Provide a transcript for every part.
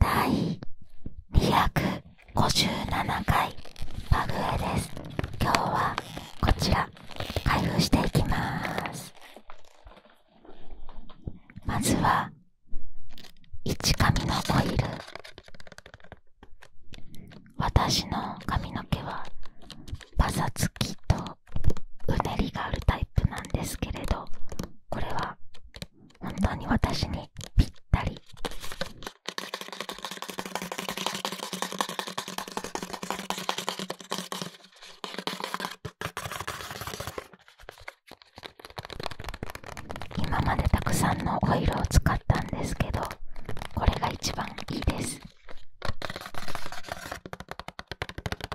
第257回パグエです今日はこちら開封していきますまずは一髪のオイル私の髪の毛はパサつきとうねりがあるタイプなんですけれどこれは本当に私にぴったり今までたくさんのオイルを使ったんですけどこれが一番いいです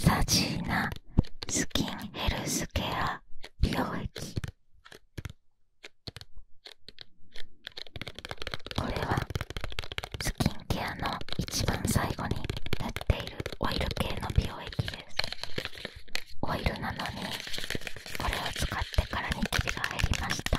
サジーナスキンヘルスケア美容液これはスキンケアの一番最後になっているオイル系の美容液ですオイルなのにこれを使ってからにキビが入りました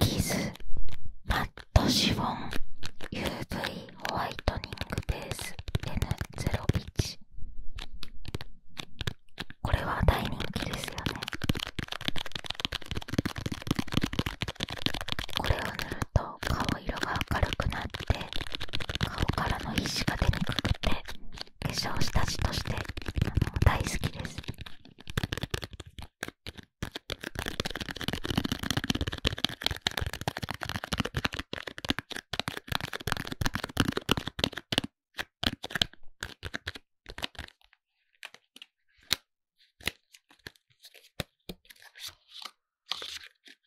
キズマットシフォン UV ホワイトニングベース N01 これは大人気ですよねこれを塗ると顔色が明るくなって顔からの皮脂が出にくくて化粧下地として大好きです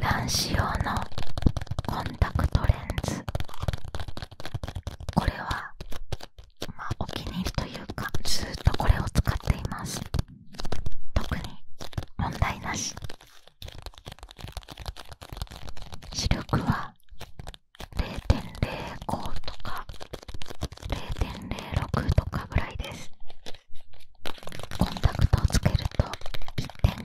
男子用のコンタクトレンズこれは、まお気に入りというかずっとこれを使っています特に問題なし視力は0.05とか0.06とかぐらいですコンタクトをつけると1.5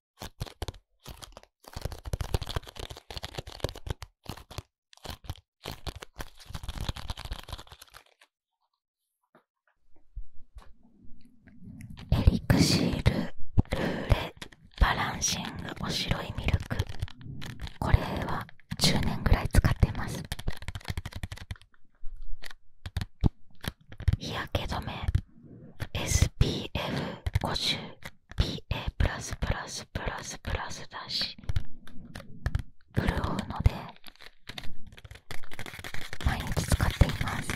エリクシールルーレバランシングおしろいミルクこれは10年ぐらい使っています日焼け止め SPF50PA++ プラスプラスプラスプラスだし潤うので毎日使っています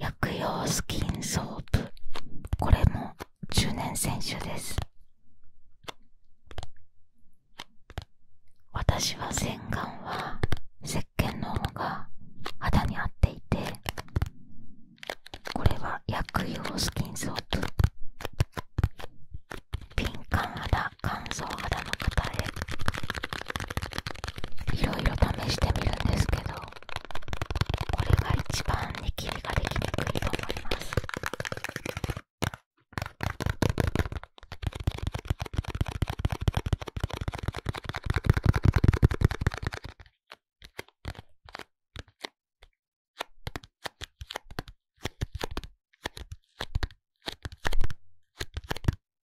日本薬用スキンソープこれも中年選手です私は洗顔は石鹸の方が肌に合っていてこれは薬用スキンソープ敏感肌乾燥肌の方へいろいろ試してみるんですけどこれが一番ニきビができにくいと思います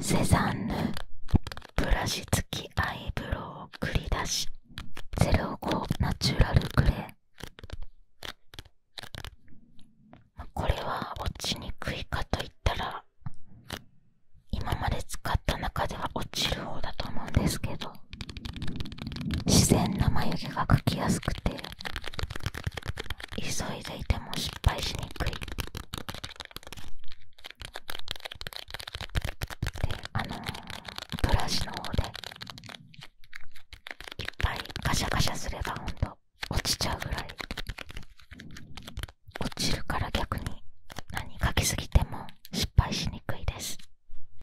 セザンヌブラシ付きアイブロウを繰り出し05ナチュラルグレーこれは落ちにくいかといったら今まで使った中では落ちる方だと思うんですけど自然な眉毛が描きやすくて急いでいても失敗しにくいであのブラシの方でいっぱいガシャガシャすればほん落ちちゃうぐらい落ちるから逆に何描きすぎても失敗しにくいです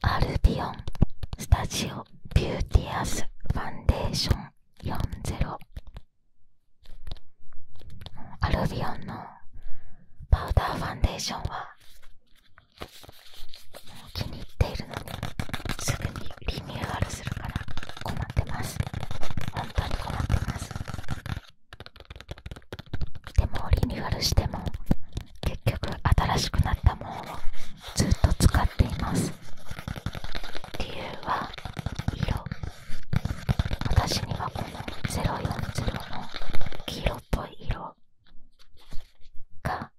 アルビオンスタジオビューティアスファンデーション40アルビオンのパウダーファンデーションは気に入っているのですぐにリニューアルするから困ってます本当に困ってますでもリニューアルしても結局新しくなったものをずっと使っています理由は色私にはこの040の黄色っぽい色が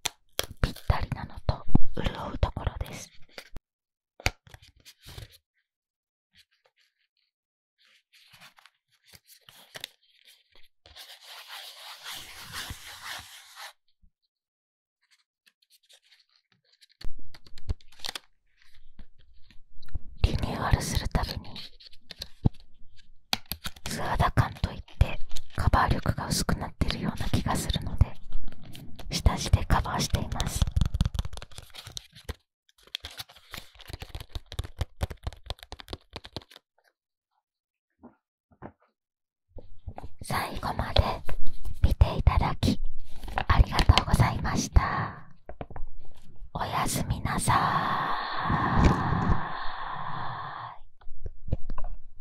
ぴったりなのと潤うところです。リニューアルするたびに素肌感といいカバー力が薄くなってるような気がするので下地でカバーしています最後まで見ていただきありがとうございましたおやすみなさい